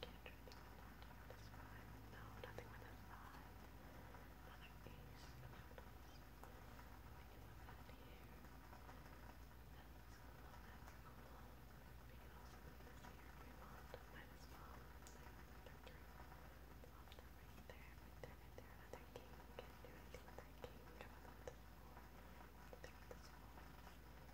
Can't do anything with that. This five. No, nothing with a five. Another ace. Another ace. We can put that here. That's cool. That's cool. We can also put this here if we want. Might as well. Another three. Pop that right there. Right there. Right there. Another king. Can't do anything with that king. Come on, this four. Think this four. This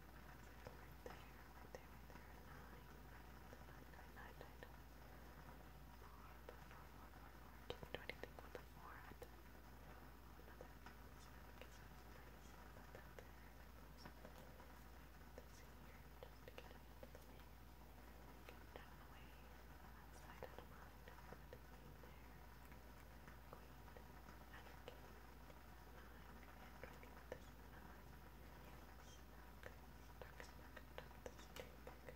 right there, right there, right there. Nine, nine, nine, nine, nine, nine. Four, four, four, four, four, four. Can't do anything with the four. Another. Put that there. This here, just to get it out of the way. Get it out of the way. That side out of mind. Queen there. Queen. And king to do, what to do, oh, and another jack, come here,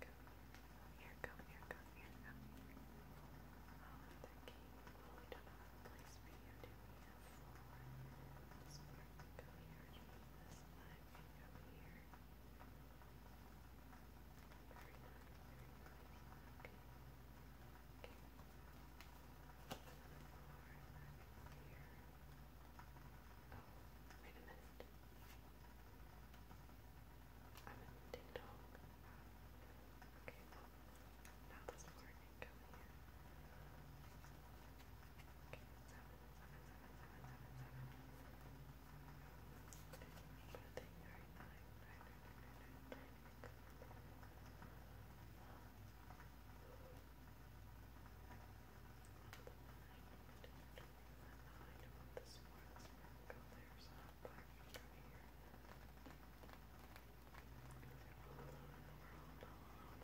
Go. Here, go, here, go, here, go. Oh, the key. Well, we don't have a place for you, do we? A floor. This part can go here. This line can go here. Very nice, very nice. Okay. Okay. Another floor. That can go here. Another floor. That can go here. Wait a minute. I'm in ding dong. Okay, no. Not this morning. Come here. Okay, seven, seven, seven, seven, seven, seven. But I think you're right. Nine, nine, nine, nine, nine, nine, nine want this one. This one go there, so I'll put it over here. All alone in the world, all alone,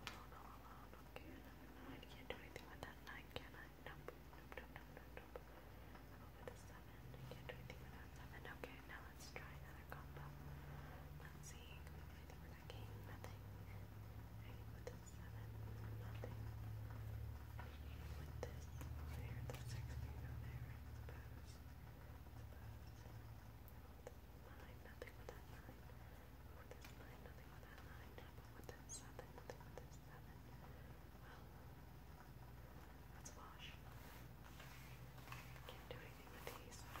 all alone, all alone, all alone. Okay, I can't do anything with that nine, can I? Nope, nope, nope, nope, nope, nope. Over the seven, I can't do anything with that seven. Okay, now let's try another combo. Let's see, I think I gained nothing. I with the seven, nothing. With this there, the sixteen over there, I suppose. Suppose. Nine, nothing with that nine. With this nine, nothing with that nine. But with that seven, nothing with this seven. Well, let's wash. Can't do anything with these. What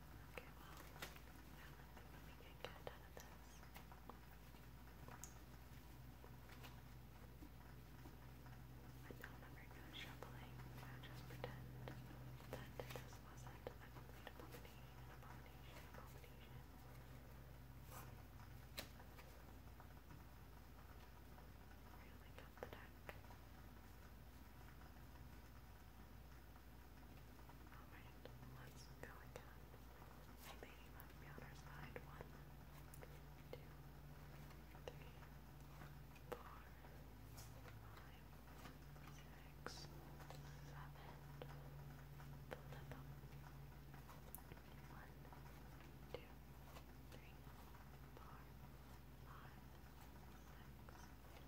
Okay, well, I don't think shuffling, I just pretend that this wasn't a complete abomination, abomination, Really got the deck. Alright, let's go again. Maybe he must be on our side. One, two, three, four, five, six, seven. Flip up. One, two, three, four, five, six,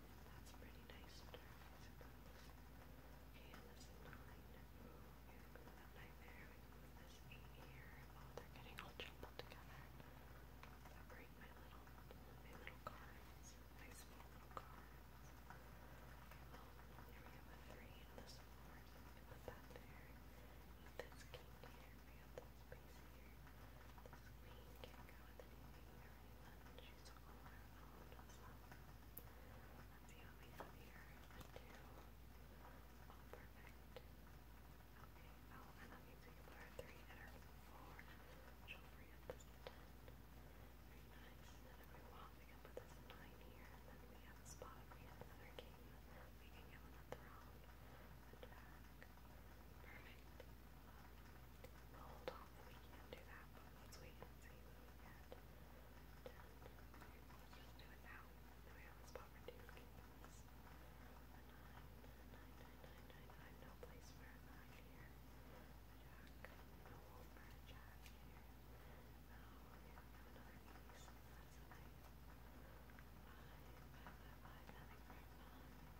That's a pretty nice star, I suppose. Okay, and this is nine. We're gonna go that nine there. We can move this eight here. Oh, they're getting all jumbled together. I break my little, my little cards. My small little cards. Okay, well, here we have a three and this four. So we can put that there. Eat this king here. We have that space here. This queen can't go with anything here island. She's Okay. Oh, and that uh, we can put three and four. She'll free up this ten. nice. then if we want, we put this nine here. then we have a spot. we have another game, we can get one round. Perfect. we hold off we can't do that, let's wait and see what we just do it now. we have a spot for two kingdoms. nine, nine, nine, nine, nine. No place for nine here. No hole for a here. Oh, here for nine.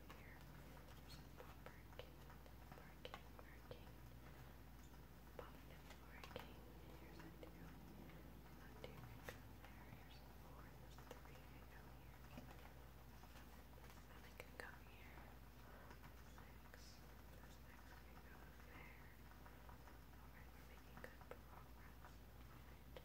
earlier. Some parking, parking, parking, pocket parking. Here's a two, a two income there. Here's a four, there's a three income here. And I can come here. Six, there's six income there. Alright, we're making good progress. Right.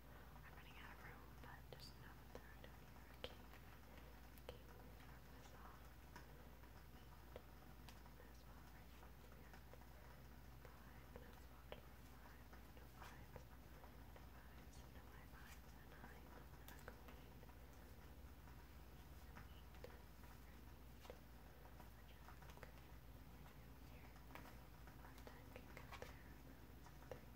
I'm running out of room, but there's another third of here. Okay. Okay, we have this off. And that's what right here. Five, that's what to five. No fives. No fives. No high fives. A nine. A green. An eight. A jack. Here. One time can go there. Three.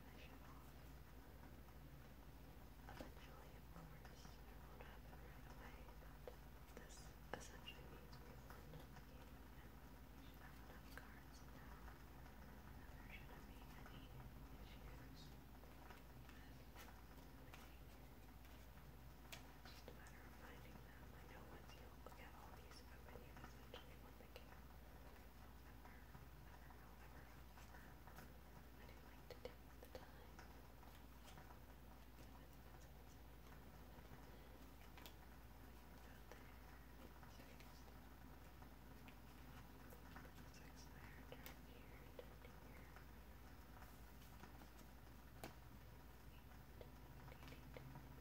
commission Eventually, of course, it won't happen right away, this essentially means we've should have enough cards now that shouldn't be any issues just a matter of finding them. I know once you look at all these, but when you essentially want like it. I do like to take the time. Six layer down here, down here. Eight, eight, eight, eight.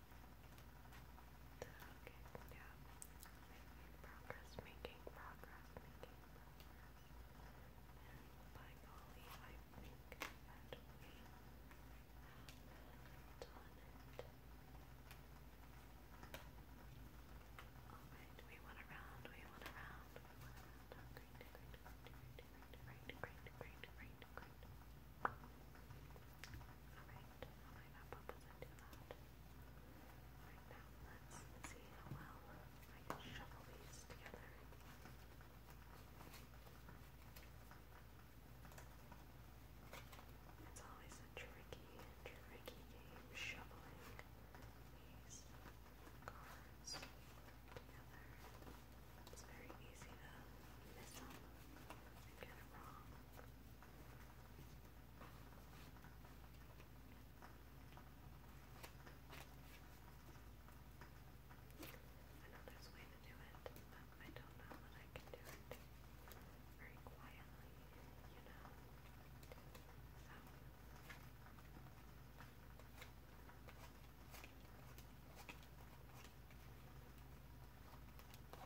Okay, yeah. Making progress, making progress, making progress. And by golly, I think that we have done it. Alright, we went around, we went around, we went around. great, great, great, great, great, great, great. Alright, Alright, now let's see how well I can shuffle these together. It's always a tricky, tricky game shoveling these cards together. It's very easy to miss them get it wrong. I know there's a way to do it, but I don't know that I can do it very quietly, you know. So I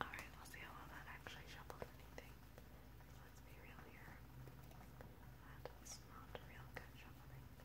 Alright, we'll see how that actually shuffled anything. Let's be real here. That not real good shoveling.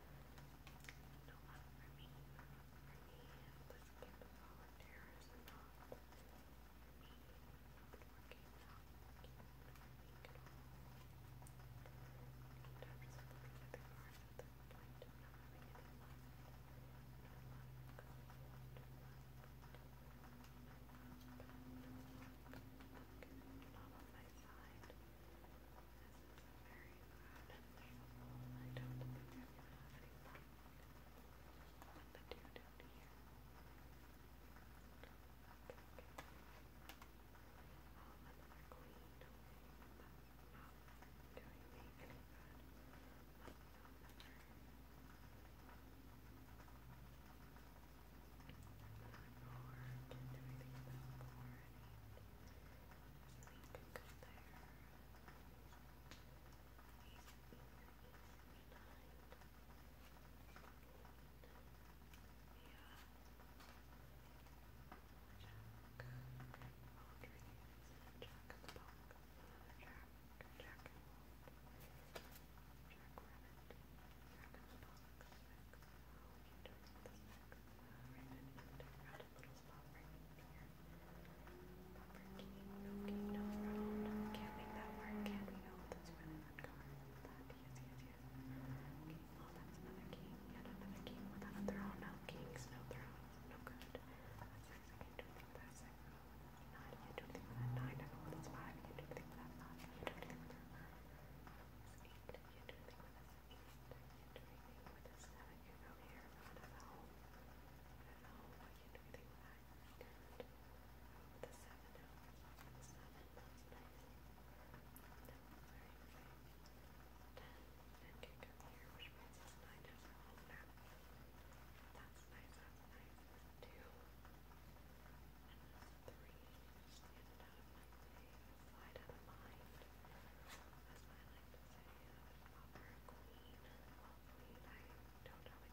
No, I mean, for me, this can be volunteerism, not for me, working out, working at all. And after supporting other cars at this point, I'm not having any luck, no luck, no luck, no luck, no luck, no luck, not on my side. I very glad and thankful. I don't think I would have any fun with the two down here. Okay, okay. Oh, another queen. That's not doing me any good. Let's go another. Another board. Can't do anything about board. Link could go there. Rabbit, platypus, not freaking bear. Not freaking, no king, no throne. Can't make that work, can't we? Oh, that's really uncomfortable with that. Yes, yes, yes. Okay, oh, that's another king. Yet another king without a throne. No kings, no thrones. No good. That's six. I can do anything with that six. Nine, I can do anything with that nine. I know that's five. I can do anything with that five. I can do anything with that. It's eight. I can do anything with that six anything with this I can go here, not a vowel. Not a vowel, I can't do anything with that. With the seven now. The seven, that's nice. No, sorry, okay. Ten, ten can go here, which means it's nine has a home now. That's nice, that's nice. Two, and that's three. Just get it out of my way. Wide of the mind. As I like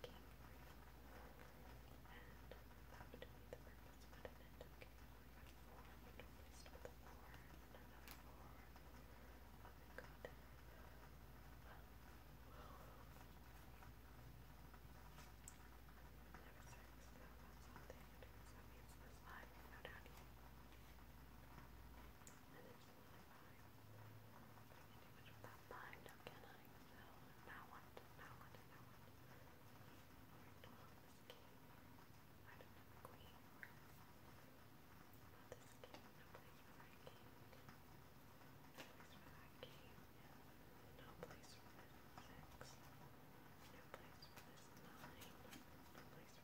to say, I'm not for a queen. Well, queen, I don't know a king for you. And that would be the purpose, wouldn't it? Okay, we got four. We don't waste with the four. And another four. Oh my god. Well, Number six, though, that's something. So that means this line will go down here. And it's not fine. I can do much with that mind, now can I? So, now what? Now what? Now what? Well, this king. I don't have a queen. But this king, no place for that king. No place for that king. No place for this six. No place for this nine. No place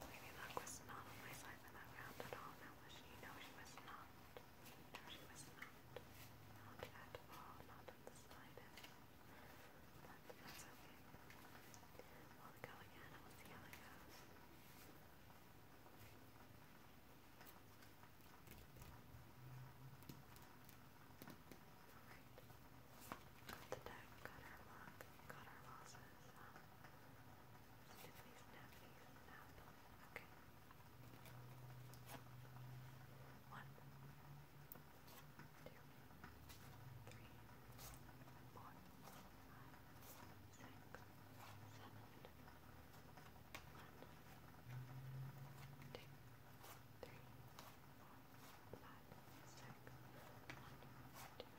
Maybe luck was not on my side in that round at all. Now was she? No, she was not. No, she was not. Not at all. Not at the slightest. that's okay. We'll go again we'll see how it goes. the deck, got our luck, got our losses. Tiffany's nappies and apple. Okay. One, two, three, four, five, six, seven. One, two, three, four, five, six. One, two,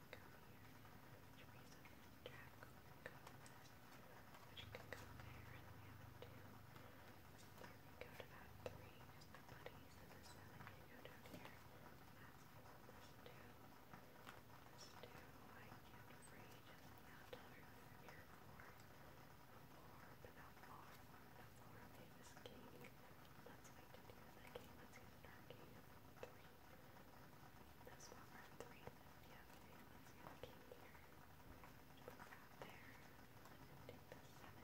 come here, which brings up Jack over Gomez, which can go there, and we have a two. So there we go to that three is the buddies, and the seven can go down here. That's four, this two, this two, I can't afraid, just not really here for. Four, but not far. The four of them is king. Let's wait until the other game. Let's get a dark game. Three. This one, or three. Yeah, three. Let's get a king here. Put that there. Let's take the seven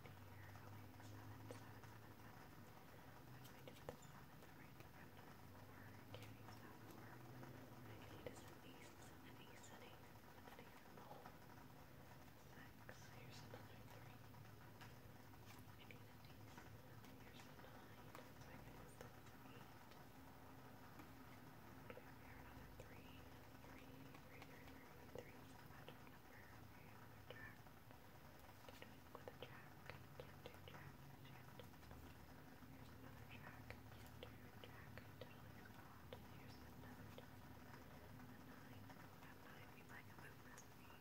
here. Okay, seven, seven, seven, seven. I'm going to put the seven right around the four. Carries that four. What I need is an ace, an ace, an ace, an ace in the hole. Six. Here's another three. Let's Here's another jack. A nine. A nine. You like a movement.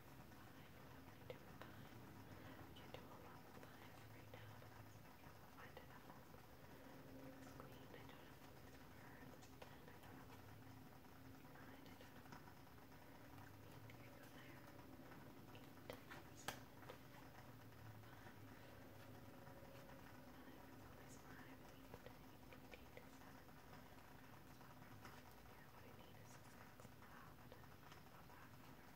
You do a lot of lives right now, but that's okay. We'll find it out. This queen, I don't have a place for her. This ten, I don't have a place. Nine, I don't have a place. Eight, go there. Eight, ten, seven, five. Five, five, eight, nine, eight, seven. Here, what I need is a six. Wow, but I'll back.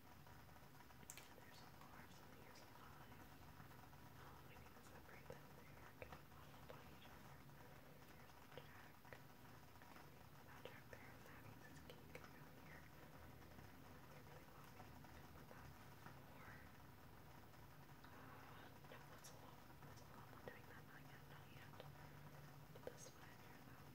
There's a bar, so here's a five. Oh, we need to separate them. They are getting muddled by each other. Here's the jack. That jack there, and that means it's king can go here. They really want me to put that four. Uh, no, that's a lot. That's a lot. I'm not doing that. Not yet. Not yet. But this one here, though.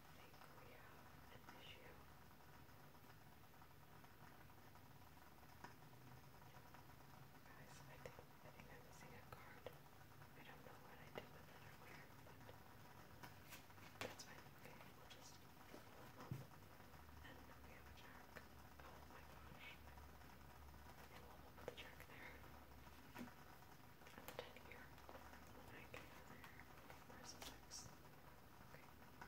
think we have an issue. Guys, I think I think I'm missing a card. I don't know what I did with it or where, but that's fine. Okay, we'll just pull them up and we have a jack. Oh my gosh. And we'll put the jack there. I'm done here. I can where's the next? Okay. Nine,